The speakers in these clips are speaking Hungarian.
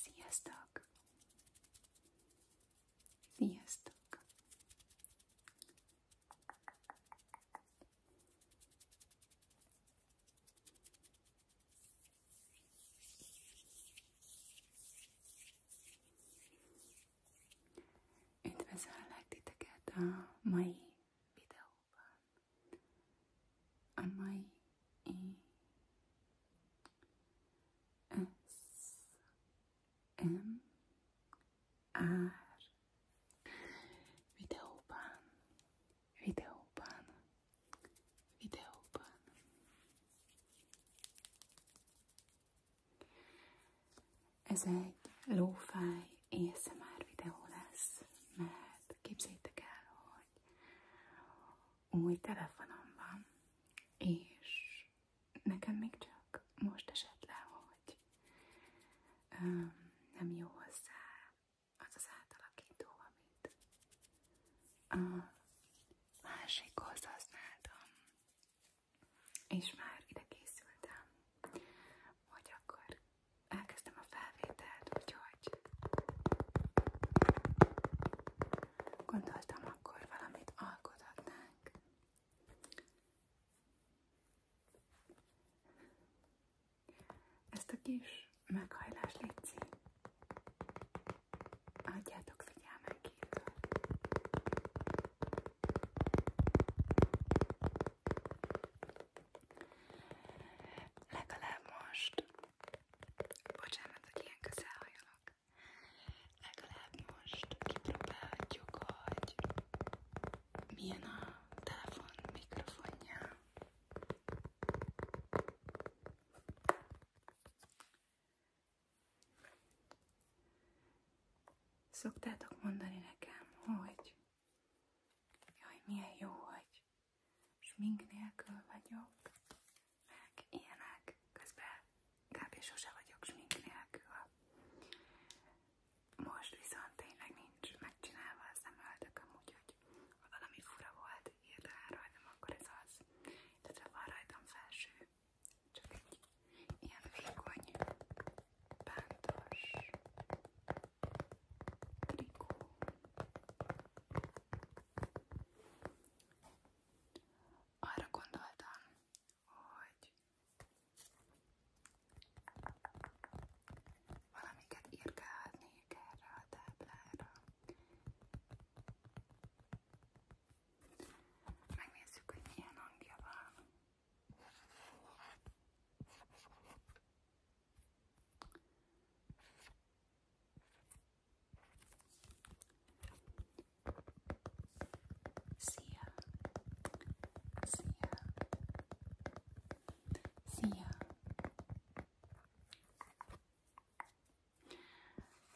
Sziasztok! Sziasztok! Üdvözöllek titeket a mai videóban. A mai s M R videóban, videóban, videóban. Ez egy lófáj ASMR videó lesz, mert képzeljétek el, hogy új telefonom van, és nekem még csak most esett le, hogy um, nem jó hozzá az az átalakító, amit a másik használtam, és már ide készültem, hogy akkor elkezdtem a felvételt, úgyhogy vagy. Gondoltam, akkor valamit alkothatnánk. Ezt a kis meghajlás létszi. Adjátok figyelmen kívül. most Bocsánat, hogy ilyen közel hajolok. Legalább most hogy milyen a telefon mikrofonja. Szoktátok mondani nekem, hogy jaj, milyen jó, hogy és smink nélkül vagyok, meg ilyenek, közben kb. sose vagyok smink nélkül. Most viszont tényleg nincs megcsinálva a szemöldököm, úgyhogy ha valami fura volt, rajtam, akkor ez az. Tehát van rajtam felső, csak egy ilyen vékony, bántos trikó. Arra gondoltam, hogy valamiket írkálhatnék erre a táblára. Megnézzük, hogy milyen hangja van. Szia! Szia! Szia!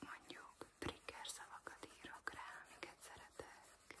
Mondjuk trigger szavakat írok rá, amiket szeretek.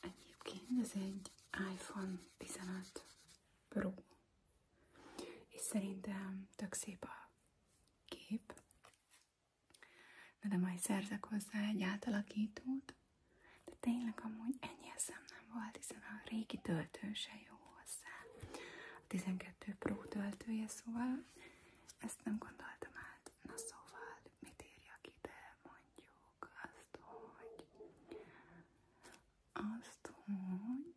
Egyébként ez egy iPhone 15 Pro, és szerintem tök szép a kép. Na de majd szerzek hozzá egy átalakítót. De tényleg amúgy ennyi eszem nem volt, hiszen a régi töltő se jó hozzá. A 12 Pro töltője, szóval ezt nem gondoltam át. Na szóval mit írjak ide? Mondjuk azt, hogy... Azt, hogy...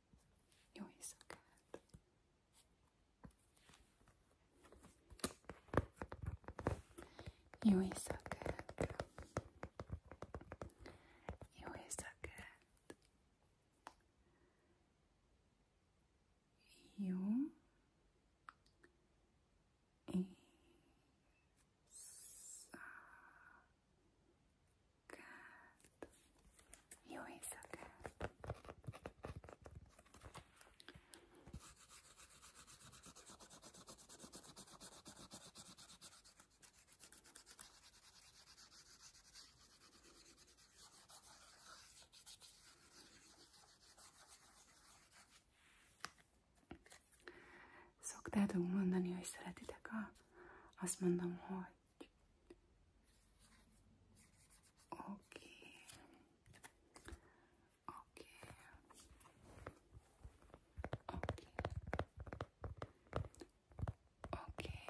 You're so good. You are so good. You are so good. You is so Good. You are so good. Szoktátok mondani, hogy szeretitek a... Azt mondom, hogy... Oké. Oké. Oké. Oké.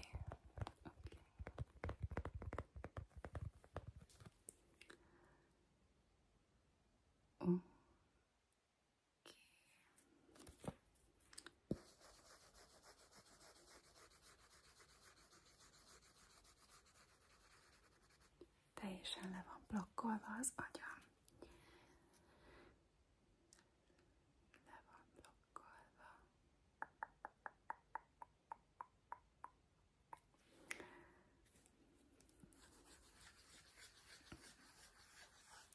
Teljesen le van blokkolva az agyam. Le van blokkolva.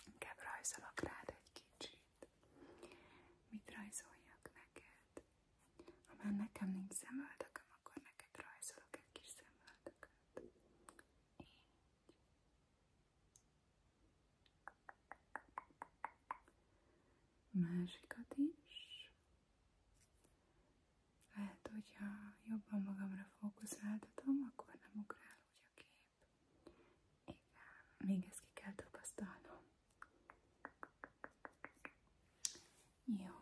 Inkább rajzolok rád egy kicsit. Mit rajzoljak neked? Ha nekem nincs szemöldököm, akkor neked rajzolok egy kis szemöldököt. Így. Másikat is. Lehet, hogyha jobban magamra fókuszáltatom, akkor nem ugrál úgy a kép. Igen, még ezt ki kell tapasztalnom. Jó.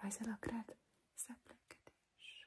Rajzolok rád szeplekedés.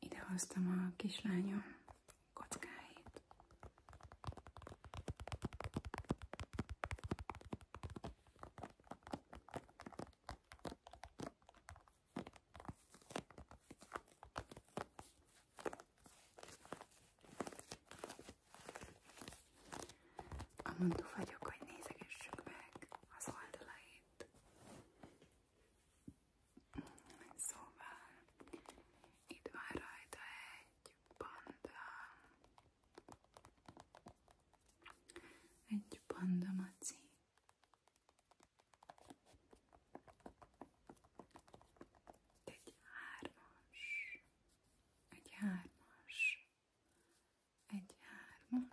Ide hoztam a kislányom kockáit. Amondó vagyok, hogy nézegessük meg az oldalait. Szóval itt van rajta egy panda. Egy panda maci egy hármas, egy hármas, egy hármas,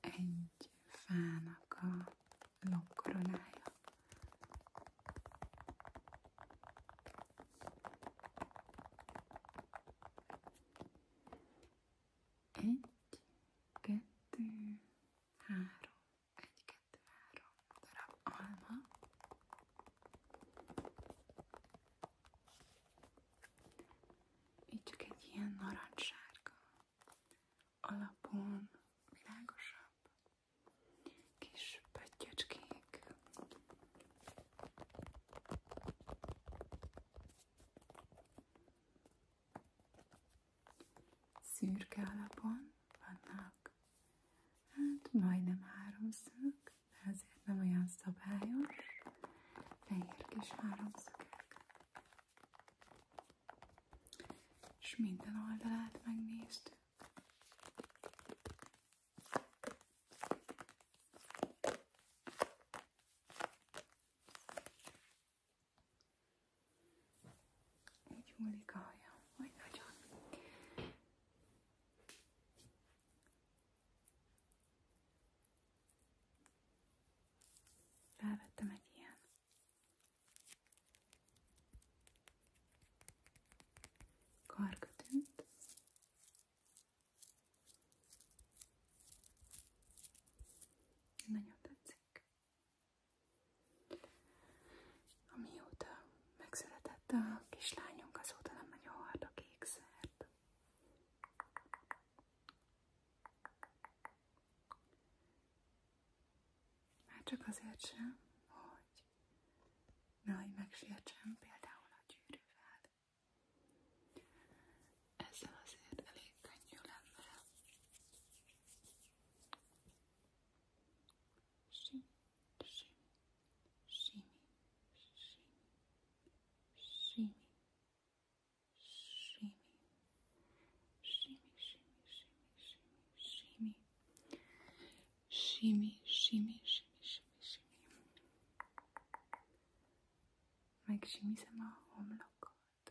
egy fának a lokkoronája. Egy, kettő, három, egy, kettő, három darab alma, itt csak egy ilyen narancssárga alapon világosabb kis pöttyöcskék szürke alapon vannak, hát majdnem háromszög, de azért nem olyan szabályos, fehér kis háromszögek. És minden oldalát megnéztük. Így hullik a haja, hogy nagyon. Felvettem egy ilyen. Karkötőt. Nagyon tetszik. Amióta megszületett a kislányunk, azóta nem nagyon hard a kékszert. Már csak azért sem, hogy nehogy megsértsem például a gyűrűvel. Ezzel azért elég könnyű lenne. shimmy, shimmy, shimmy, shimmy, shimmy, shimmy, shimmy, shimmy, shimmy, shimmy, shimmy, shimmy, shimmy, shimmy, shimmy. Make shimmy sama home look good.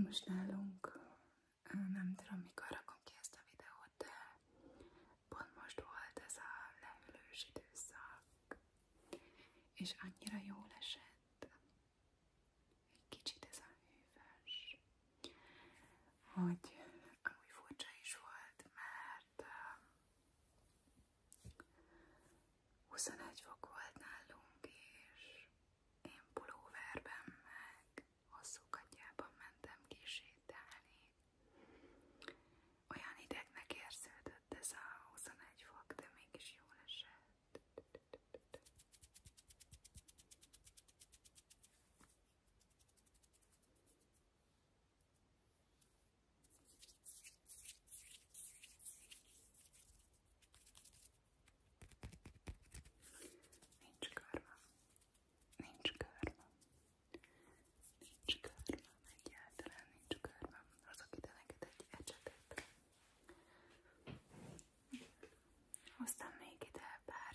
Most nálunk, nem tudom mikor rakom ki ezt a videót, de pont most volt ez a leülős időszak, és annyira jó esett, egy kicsit ez a hűvös, hogy ami furcsa is volt, mert 21 um, volt nálunk, és én pulóverben meg hosszú mentem kisétálni. Olyan idegnek érződött ez a de mégis jól esett. Nincs körme, nincs körme, nincs körme, egyáltalán nincs körme, hozok ide neked egy ecsetet. Hoztam még ide pár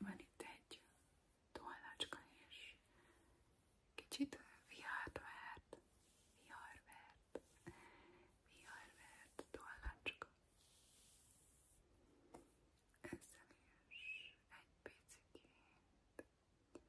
Van itt egy tollacska és kicsit viharvert, viharvert, viharvert tollacska. Ezzel is egy picit, egy picit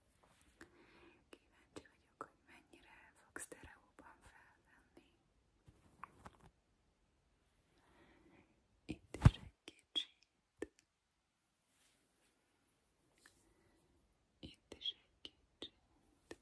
Kíváncsi vagyok, hogy mennyire fog sztereóban felvenni. Itt is egy kicsit. Itt is egy kicsit. Itt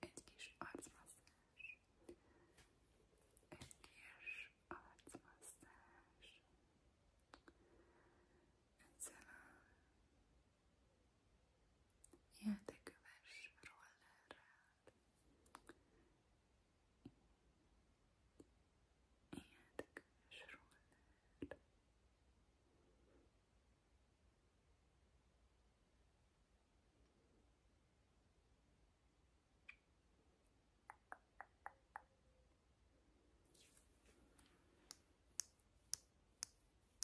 Egy kis arcmasszázs. Egy kis arcmasszázs. Ezzel a játéköves rollerrel, játéköves roller.